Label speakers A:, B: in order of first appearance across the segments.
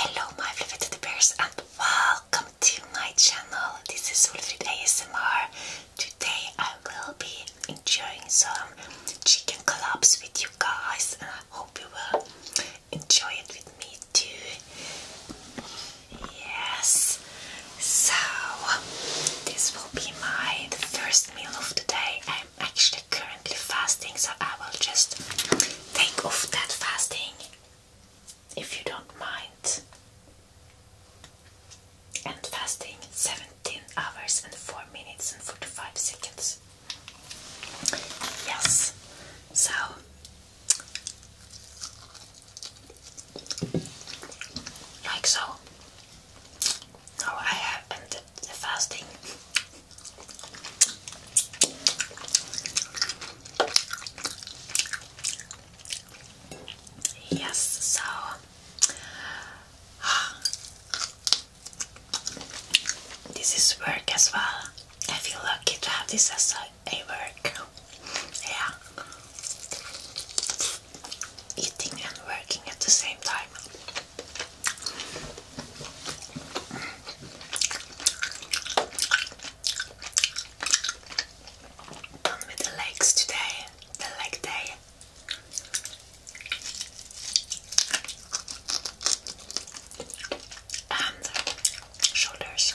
A: Hello my beloved teddy bears and welcome to my channel. This is Ulfrid ASMR. Today I will be enjoying some chicken collabs with you guys and I hope you will enjoy it with me too. Yes. So this will be my first meal of the day. I'm actually currently fasting, so I will just take off that fasting if you don't mind. And fasting 17 hours and 4 minutes and 45 seconds. Yes, so. Like so. Now I have and the fasting. Yes, so this is work as well. I feel lucky to have this as a, work. Yeah. Eating and working at the same time. Done with the legs today, the leg day. And shoulders.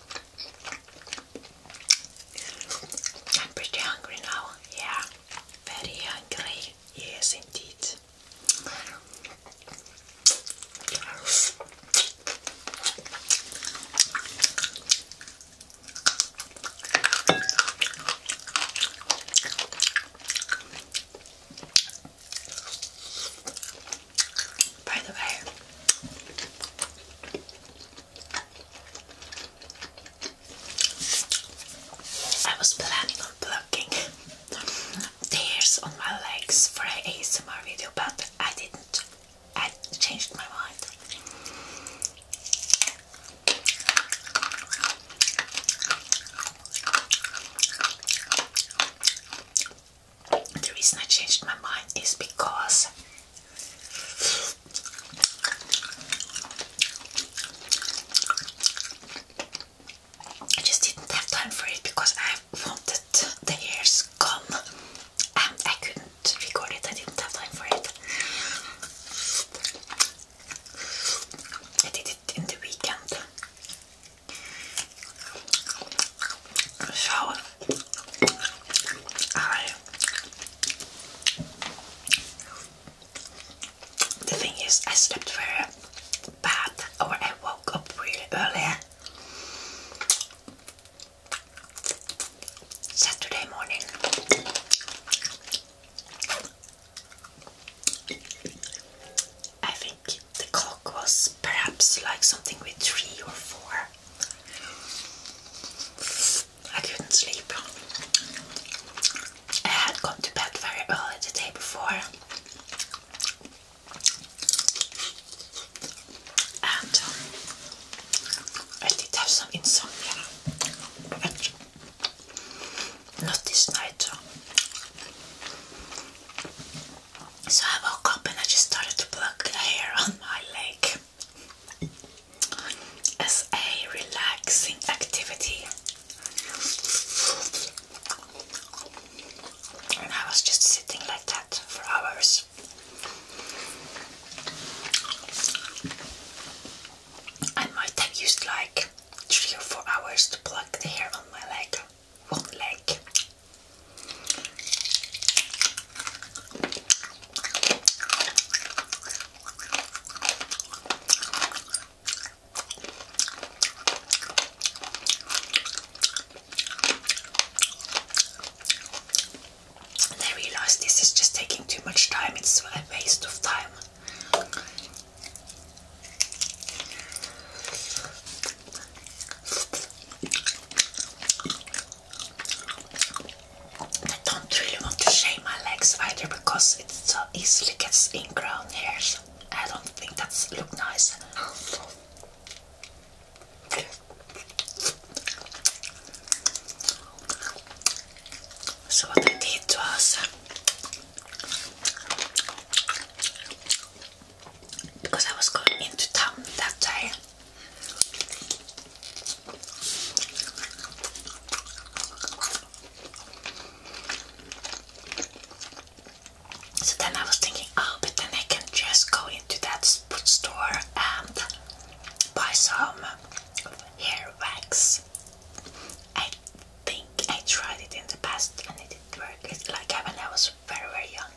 A: I'm pretty hungry now. Yeah, very hungry. Yes, indeed. By the way, I was planning on plucking tears on my legs for an ASMR video, but I didn't. I changed my mind the reason I changed my mind is because I just didn't have time for it because I wanted the hairs gone and I couldn't record it, I didn't have time for it. I did it in the weekend I the thing is I slept very bad or I woke up really early Saturday morning I think the clock was perhaps like something with three or four. I couldn't sleep. I had gone to bed very early the day before, and um, I did have some insomnia, but not this night. Um, so I woke up and I just started to plug hair on my leg as a relaxing activity. And I was just sitting like that for hours. I might have used like three or four hours to pluck the hair on my leg one leg. I realized this is just taking too much time, it's a waste of time. I don't really want to shave my legs either because it so easily gets ingrown hairs. I don't think that's look nice. So what I did was because I was going into town that day. So then I was thinking, oh, but then I can just go into that store and buy some hair wax think I tried it in the past and it didn't work. It's like when I was very, very young.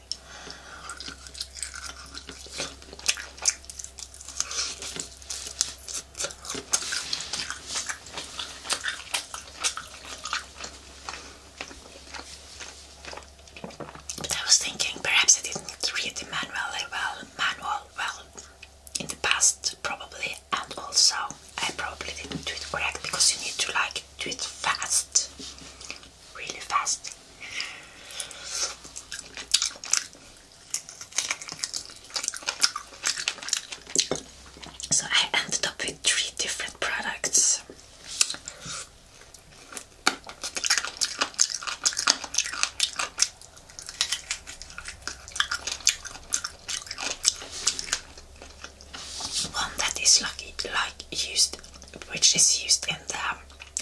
A: But I was thinking perhaps I didn't read the manual well, manual well in the past probably and also I probably didn't do it correct because you need to like do it fast, really fast. So I ended up with three different products. One that is like, used, which is used in the um,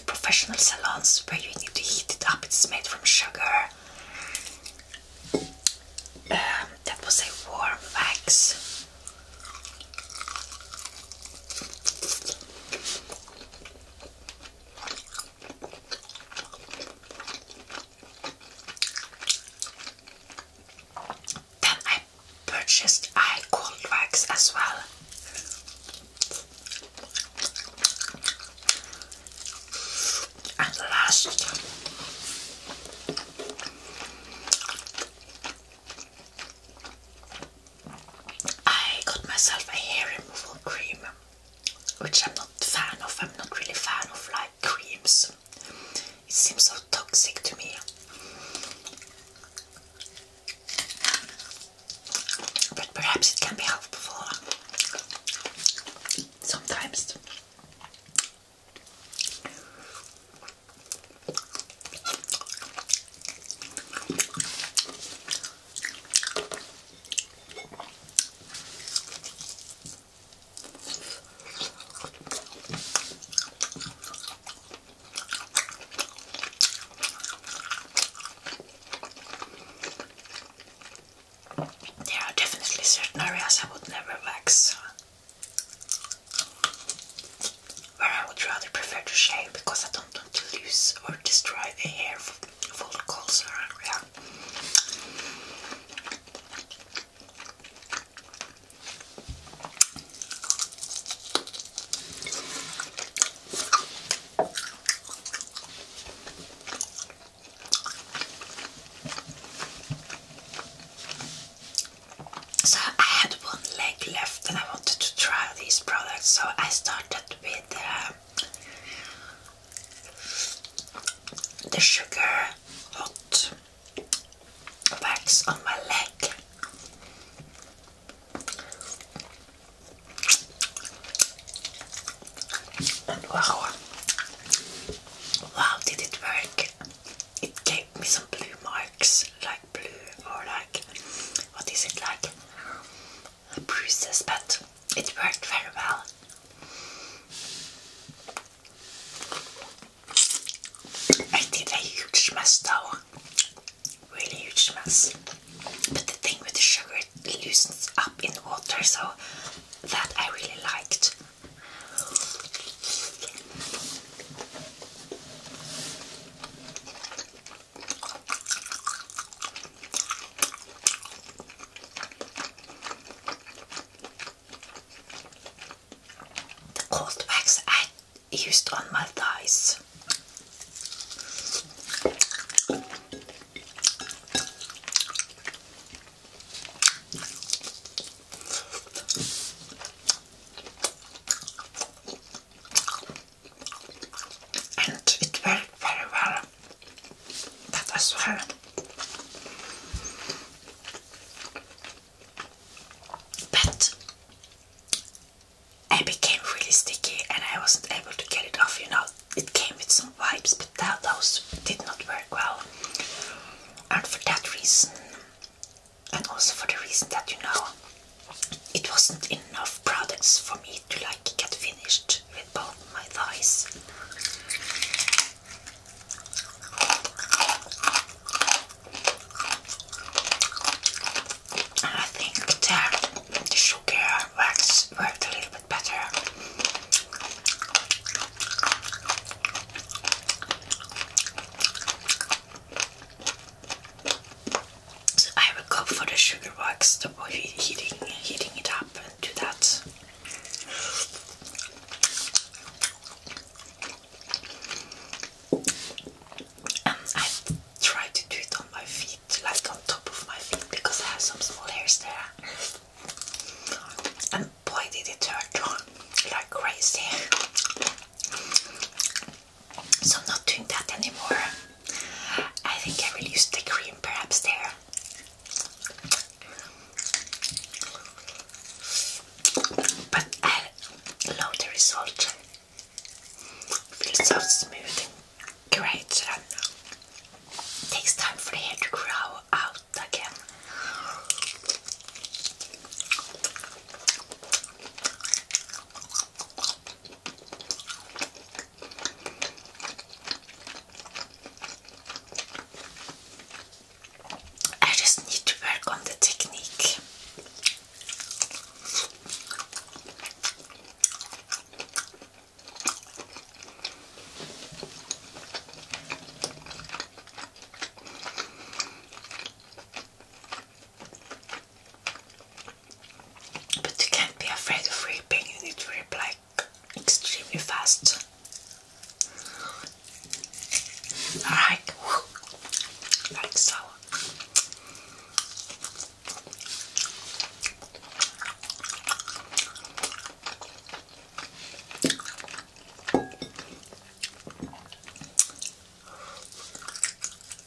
A: professional salons where you need to heat it up. It's made from sugar. Um, that was a warm wax. Then I purchased eye cold wax as well. And last, I got myself a hair removal cream, which I'm not fan of. I'm not really fan of like creams it seems so toxic to me. But perhaps it can be helpful sometimes. There are definitely certain areas I would never wax, where I would rather prefer to shave because I don't want to lose or destroy the hair so I had one leg left and I wanted to try these products so I started with uh, the sugar hot wax on my leg. And wow, wow, did it work? It gave me some blue marks, like blue or like, what is it like? bruises, but it worked very well. I did a huge mess though, really huge mess. But the thing with the sugar, it loosens up in water, so that I really liked. The cold wax I used on my thighs. And it worked very well. That I hard, But I became really sticky and I wasn't able to get it off, you know. It came with some wipes, but those did not work well. And for that reason, and also for the reason that, you know, it wasn't enough products for me to like get finished with both my thighs. I think the, sugar wax worked a little bit better. So I will go for the sugar wax, of oh, heating, heating it up and do that. And um, I try to do it on my feet, like on top of my feet, because I have some small hairs there. And boy, did it hurt like crazy. So I'm not doing that anymore. I think I will use the cream perhaps there. But I love the result. Feels so smooth great. takes time for the hair to grow out again. I just need to work on the technique. But you can't be afraid of ripping, you need to rip like extremely fast. Alright, like so.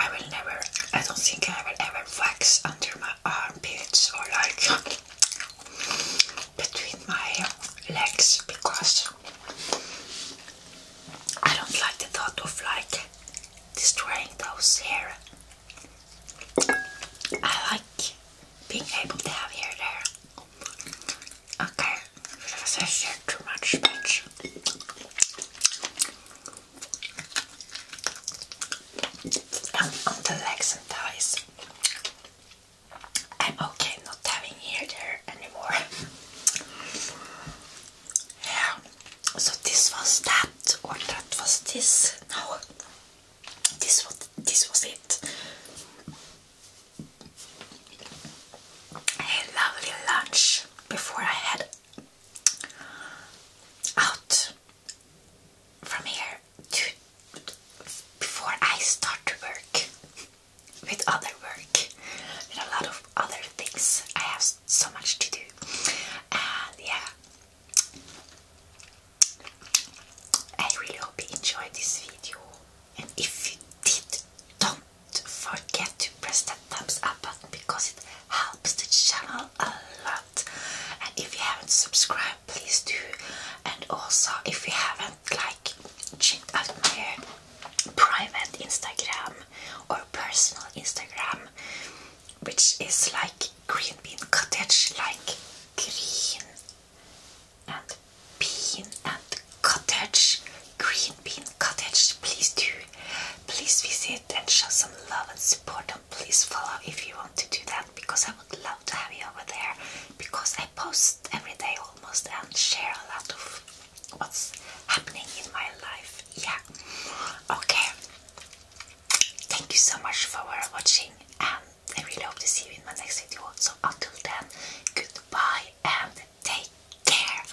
A: I will never, I don't think I will ever wax under my armpits or like between my legs because I don't like the thought of like destroying those hair. I like being able to have hair there. Okay, I shared too much much. And um, on the legs and thighs. I'm okay not having here there anymore. yeah. So this was that, or that was this. No, this was this was it. A lovely lunch before I head out from here before I start to work with other work and a lot of other things. I have so much to do, and yeah, I really hope you enjoyed this video. And if you did, don't forget to press that thumbs up button because it helps the channel a lot. And if you haven't subscribed, please do. And also, if you haven't don't like my private Instagram or personal Instagram, which is like green bean cottage, like green and bean and cottage, green bean cottage. Please do, please visit and show some love and support. And please follow if you want to do that because I would love to have you over there because I. I post every day almost and share a lot of what's happening in my life. Yeah. Okay. Thank you so much for watching and I really hope to see you in my next video. So until then, goodbye and take care.